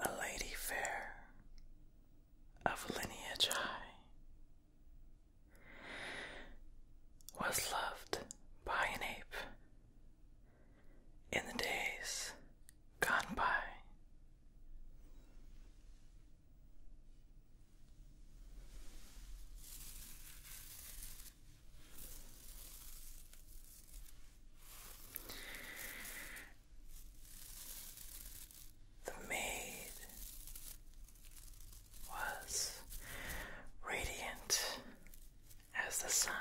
A lady fair of lineage high, was loved by an ape in the days gone by the maid was radiant as the sun.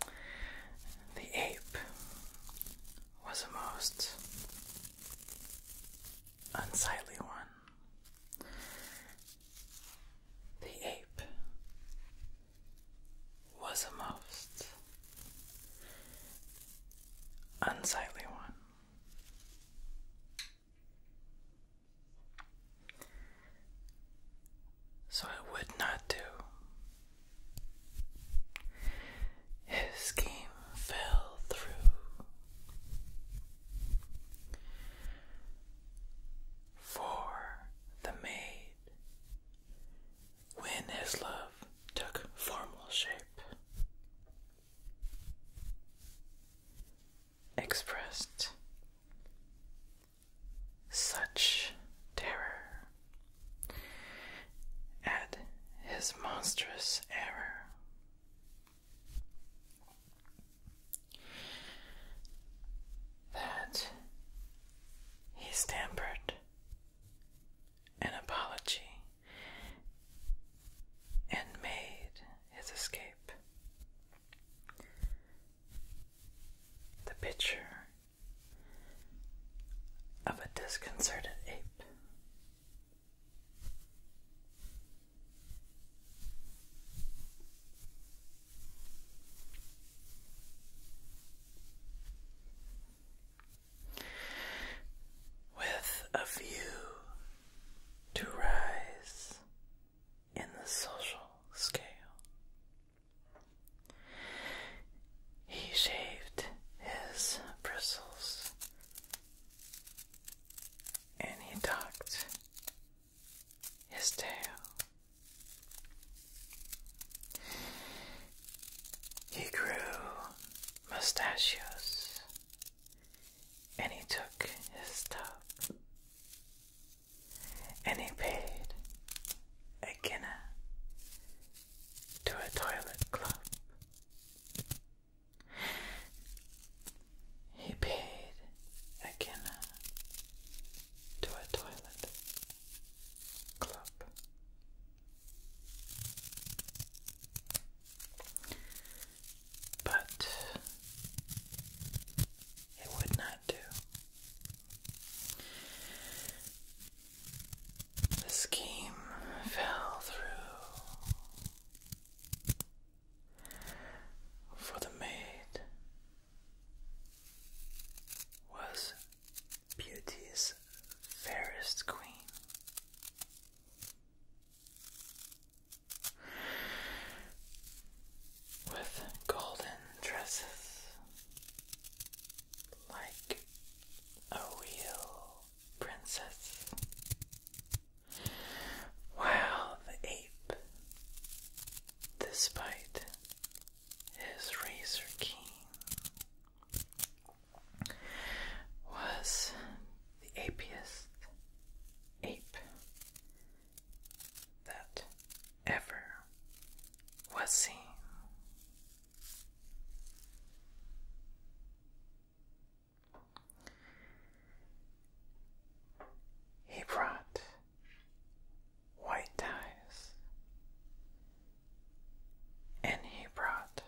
The ape was a most unsightly one. The ape was a most unsightly one. So I would not do. His scheme fell through. For the maid when his love took formal shape, expressed such terror at his monstrous error that he stammered an apology and made his escape. The picture of a disconcerted ape. With a view to rise in the social scale, he shaved his bristles and he talked his tail. He grew mustachios and he took his tub and he paid a guinea to a toilet club. He paid a guinea uh, to a toilet club. But it would not do. The scheme fell through for the maid was beauty's fairest queen. With golden dresses like a real princess, while the ape, despite his razor keen, was the apiest ape that ever was seen. He brought white ties and he brought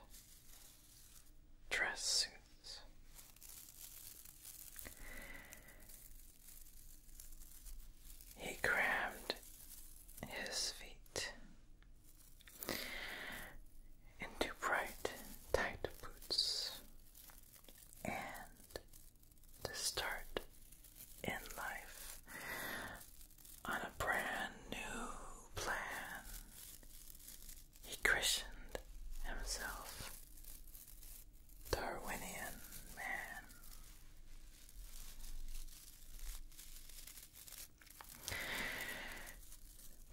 dress suits. He crammed his feet into bright, tight boots, and to start in life on a brand new plan. He christened himself Darwinian Man.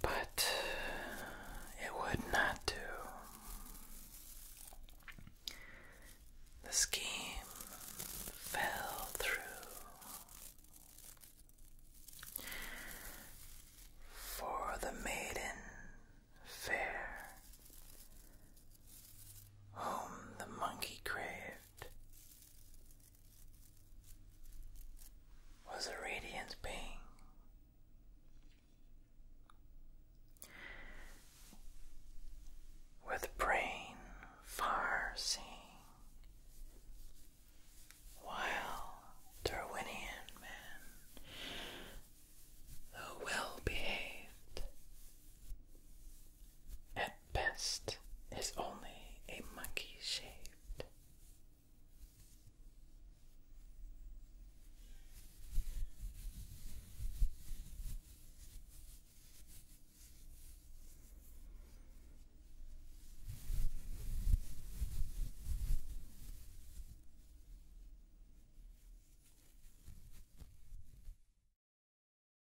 But it would not do. The scheme fell through. For the maiden fair, whom the monkey craved, was a radiant being. With brain far seeing, while Darwinian men, though well behaved, at best is only a monkey shaped.